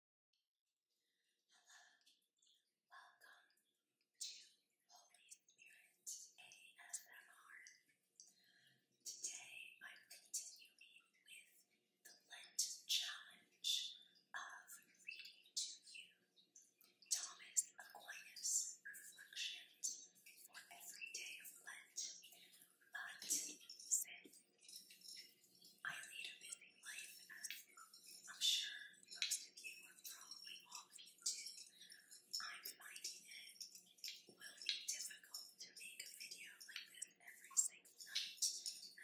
Hello, welcome to Holy Spirit ASMR. Today I'm continuing with the Lent challenge of reading to you Thomas Aquinas' reflections for every day of Lent. But I lead a busy life, as I'm sure most of you, probably all of you too. I'm finding it will be difficult to make a video like this every single night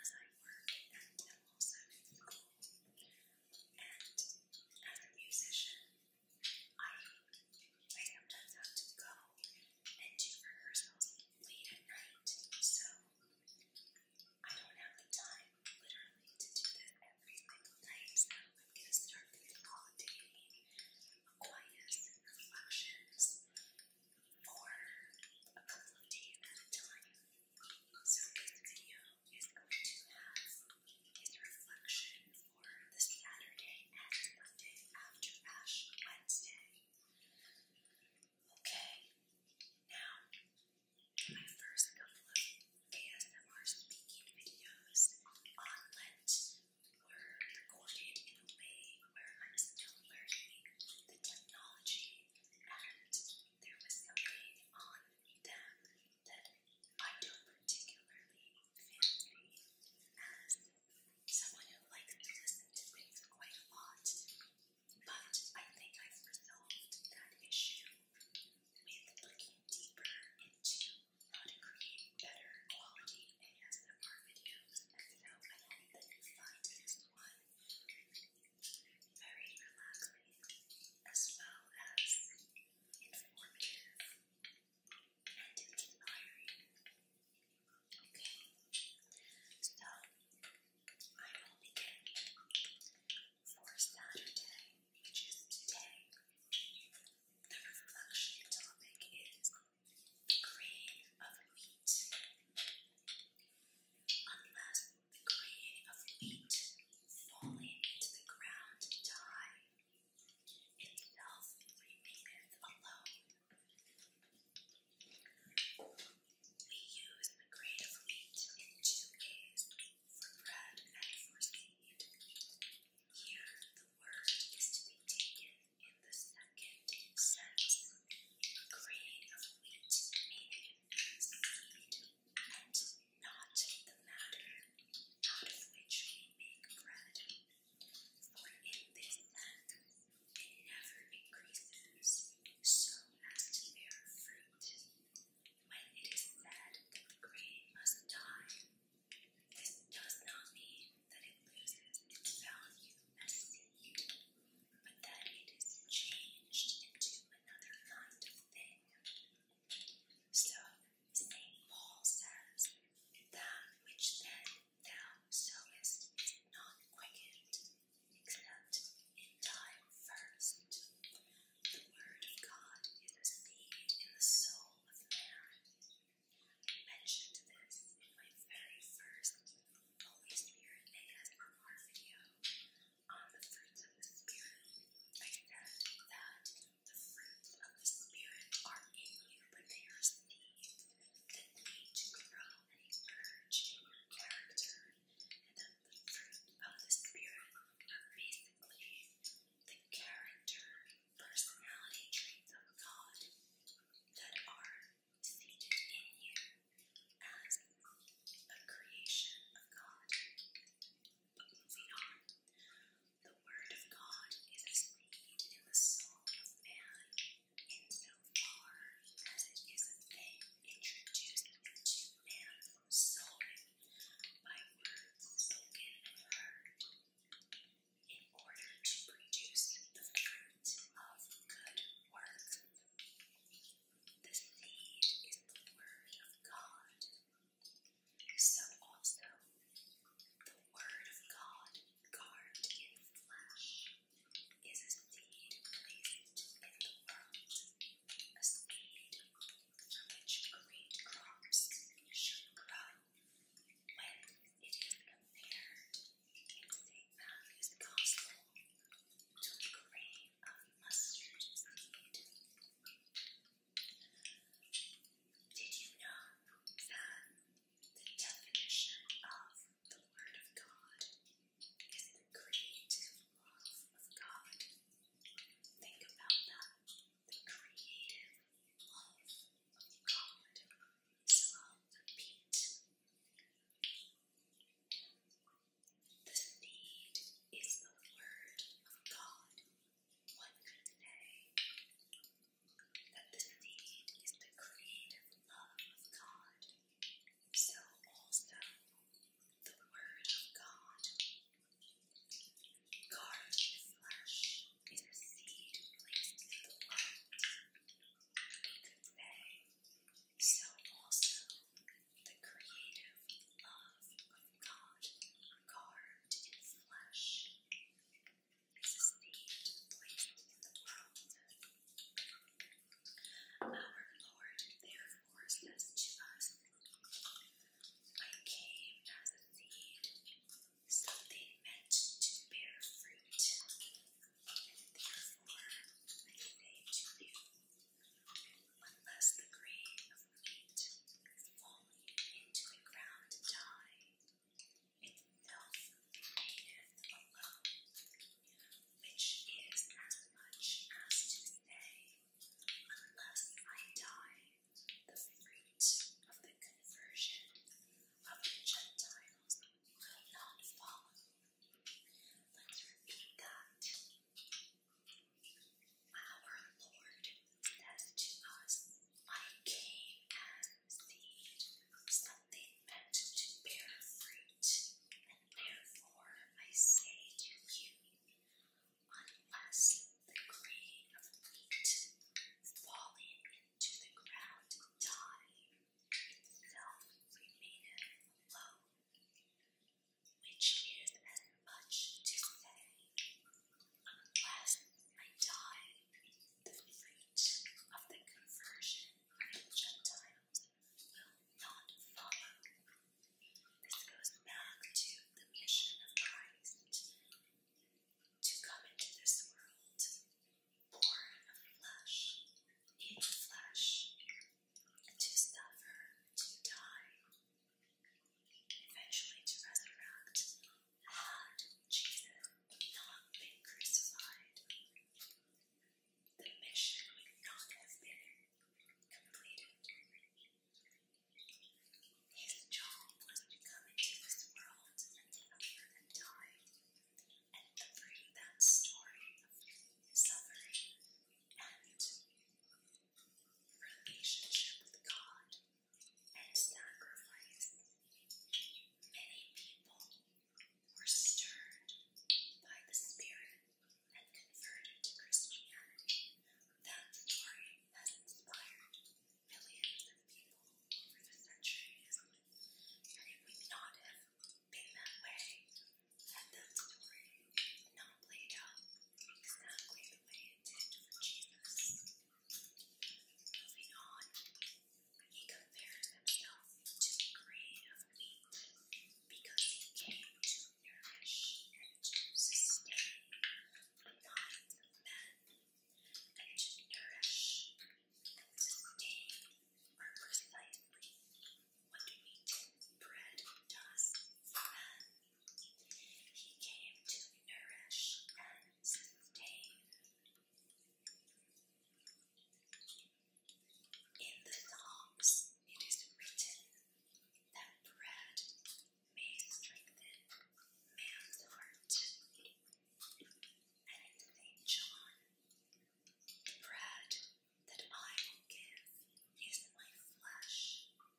as I work and also And as a musician, I, I sometimes have to go and do rehearsals late at night, so I don't have the time, literally, to do that every single night. I'm going to start doing qualitative Aquinas and reflections for a couple of days at a time. So this video is going to have his reflection for the Saturday and Monday after Ash Wednesday. Okay, now my first couple ASMR speaking videos on Lent were recorded in a way where I was still learning the technology and there was something on them that I don't particularly fancy as someone who likes to listen to things quite a lot but I think i resolved that issue with looking deeper into how to create better quality ASMR videos, and so I you find one very relaxing as well as informative and inspiring. Okay, so I will begin for Saturday, which is today. The reflection topic is the grain of wheat. Unless the grain of wheat falling into the ground die, itself remaineth alone. We use the grade of wheat in two ways, for bread and for seed. Here the word is to be taken in the second sense. Grade of wheat meaning seed and not the matter out of which we make bread. For in this sense and never increases, so as to bear fruit. When it is said the grain must die, this does not mean that it loses its value as seed, but that it is changed into another kind of thing. So, St. Paul says, That which so is not quickened except in time first. The word of God is a in the soul of man. I mentioned this in my very first Holy Spirit ASMR video on the fruits of the Spirit. I said that the fruits of the Spirit are in you, but they are thinly to grow and character, and the fruit of this spirit are basically the character, personality traits of God that are seated in you as a creation of God. But moving on, the Word of God is as in the soul of man kingdom as it is a thing introduced into man soul, by words spoken and heard, in order to produce the fruit of good work. The seed is the word of God. So also, the word of God carved is indeed pleasing in the world, a seed from which great crops should grow. When it is compared in St. Matthew's Gospel to a grain of mustard seed. Did you know that the definition of the Word of God is the creative love of God. Think about that. The creative love of God. So I'll repeat. The seed is the Word of God. What could they? that the need is the creative love of God. So also the Word of God. Guard the flesh is a seed placed in the world. We could so also the creative love of God guard in flesh. This is the place in the world. Our Lord therefore says to us, I came as a seed, something meant to bear fruit. Therefore, I say unless the grain of wheat falling into the ground die, and alone, which is as much as to say, unless I die, the fruit of the conversion of the Gentiles will not fall. Let's repeat that. Our Lord says to us, I came seed, something meant to bear fruit, and therefore I say to you, unless the grain of wheat falling into the ground die, itself remaineth alone, which is as much to say, unless I die, the fruit of the conversion of Gentiles will not follow. This goes back to the mission of Christ to come into this world, born of flesh, in flesh, to suffer, to die, eventually to resurrect. Had Jesus not been crucified, the mission would not have been completed. His job was to come into this world and die, and to bring that story suffering and relationship with God and sacrifice. Many people were stirred by the Spirit and converted to Christianity, that story has inspired millions of people over the centuries. And it would not have been that way had that story not played out exactly the way it did for Jesus. Moving on, he compares himself to the grain of wheat because he came to nourish and to sustain the minds of men, and to nourish and to sustain are precisely what wheat bread does for men. He came to nourish and sustain in the Psalms, it is written that bread may strengthen man's heart. And in St. John, the bread that I will give is my flesh for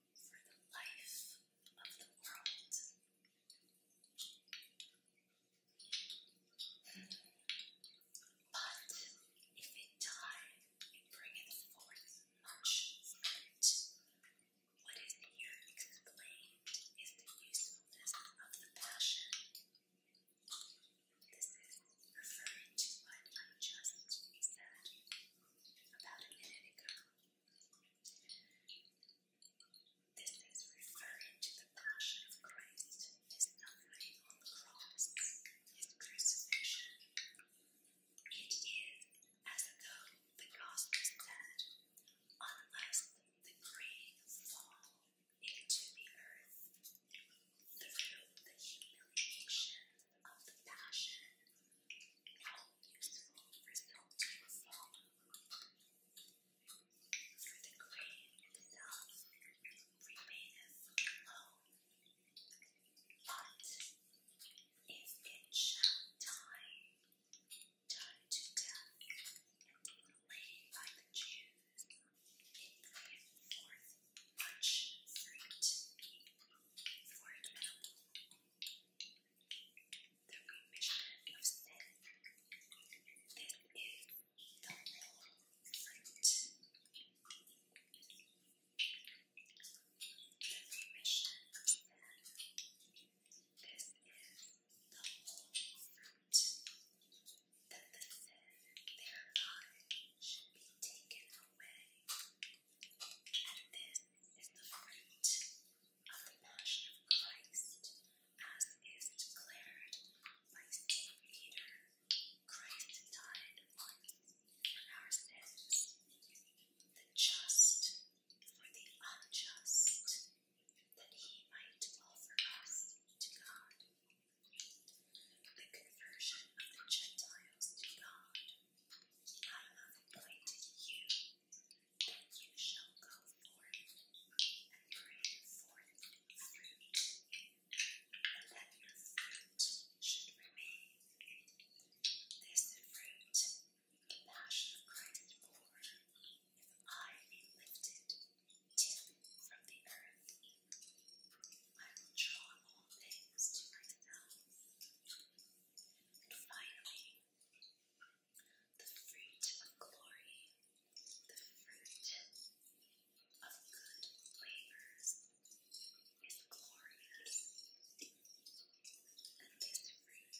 the life of the world. But if it die, it forth much What is here explained is the usefulness of the passion. This is referring to what I just said about a minute ago. This is referring to the passion of Christ, his suffering on the cross, his crucifixion. It is as though the gospel said, unless the grain fall into the earth through the humiliation of the passion, no useful result will follow for the grain itself remaineth low. But if it shall die, die to death, and laid by the Jews, it bringeth forth much fruit the Commissioner of State. This is the fruit. That the sin thereby should be taken away. And this is the fruit of the passion of Christ, as is declared by St. Peter, Christ died for our sins, the just for the unjust, that he might offer us to God. The conversion of the Gentiles to God. I have appointed you and you shall go forth and pray bring the fruit, and that your fruit should remain. This fruit the passion of Christ bore, if I be lifted till from the earth, I will draw all things to myself. And finally, the fruit of glory, the fruit of good labors is glorious, and this fruit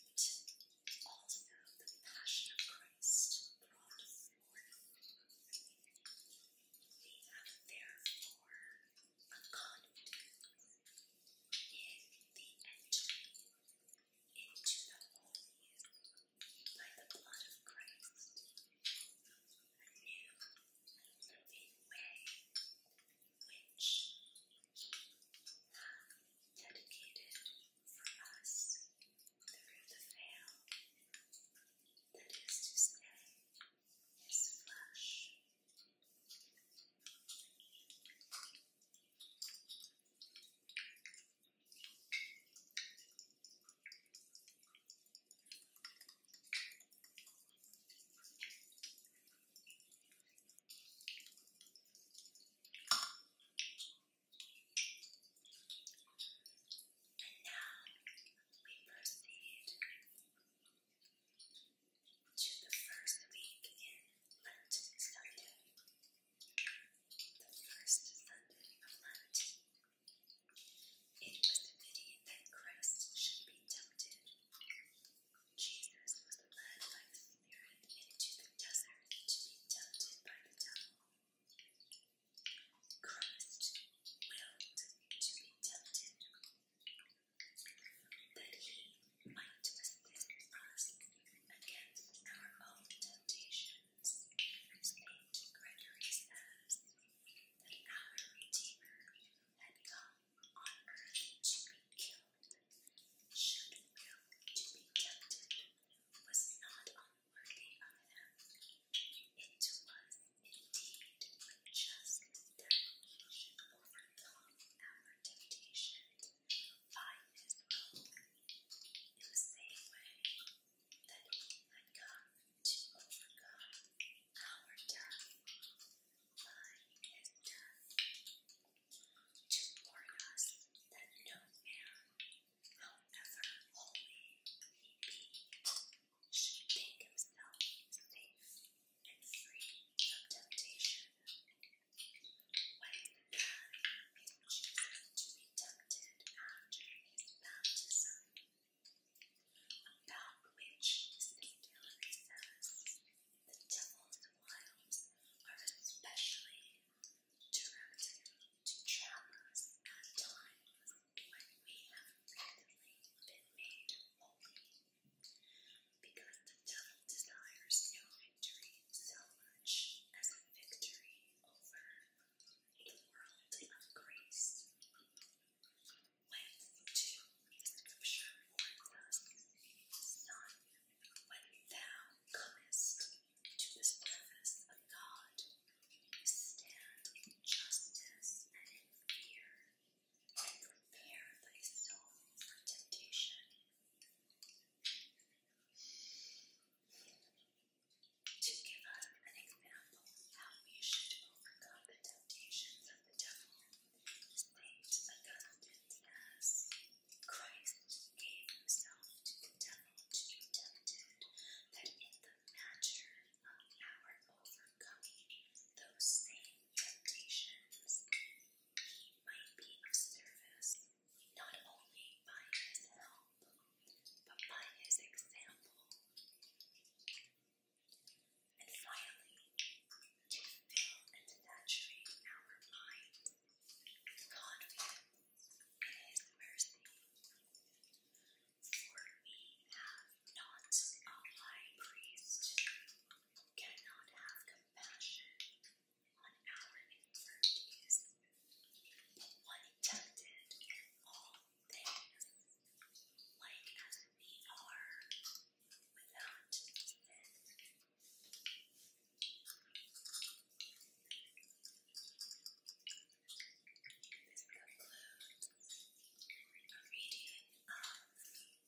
also the passion of Christ brought forth. We have therefore a confidence in the entry into the holy by the blood of Christ, a new and which He dedicated for us through the veil, that is to say, His flesh. And now we proceed to the first week in Lenten Sunday the first Sunday of Lent. It was the pity that Christ should be tempted. Jesus was led by the Spirit into the desert to be tempted by the devil. Christ willed to be tempted, that he mindlessness is us against our own temptations. St. Gregory says that our Redeemer had come on earth to be killed, should will to be tempted, was not unworthy of him. It was indeed just that he should overcome our temptation find in the way that had come to overcome our death by his death, to warn us that no man, however holy be, should think himself safe and free from temptation. When the man chooses to be tempted after his baptism, about which St. the devil's wiles are especially directed to trap us times when we have recently been made holy, because the devil desires no victory so emerge as a victory over a world of grace. When to scripture warns us, when thou comest to the service of God, stand in justice and in fear, and prepare thy for temptation, to give us an example how we should overcome the temptations of the devil, St. Augustine says, Christ gave himself to the devil to be tempted, that in the matter of our overcoming those same temptations, he might be of service not only by his help, but by his example. And finally, to fill and saturate our mind, confident in his mercy. For we have not a high priest who cannot have compassion one hour in turkeys, but what tempted in all things, like as we are without sin. This concludes a reading of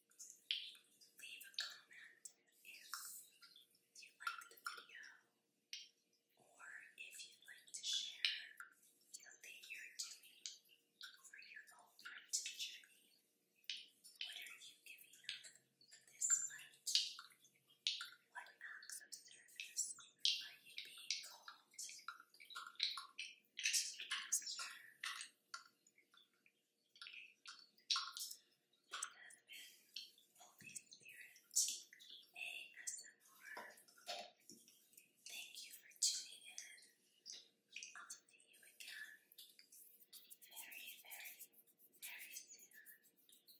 Leave a comment if you liked the video or if you'd like to share something you're doing for your own journey. What are you giving up this month? What acts of service are you being called to do ASMR. Thank you for tuning in. I'll see you again very, very, very soon.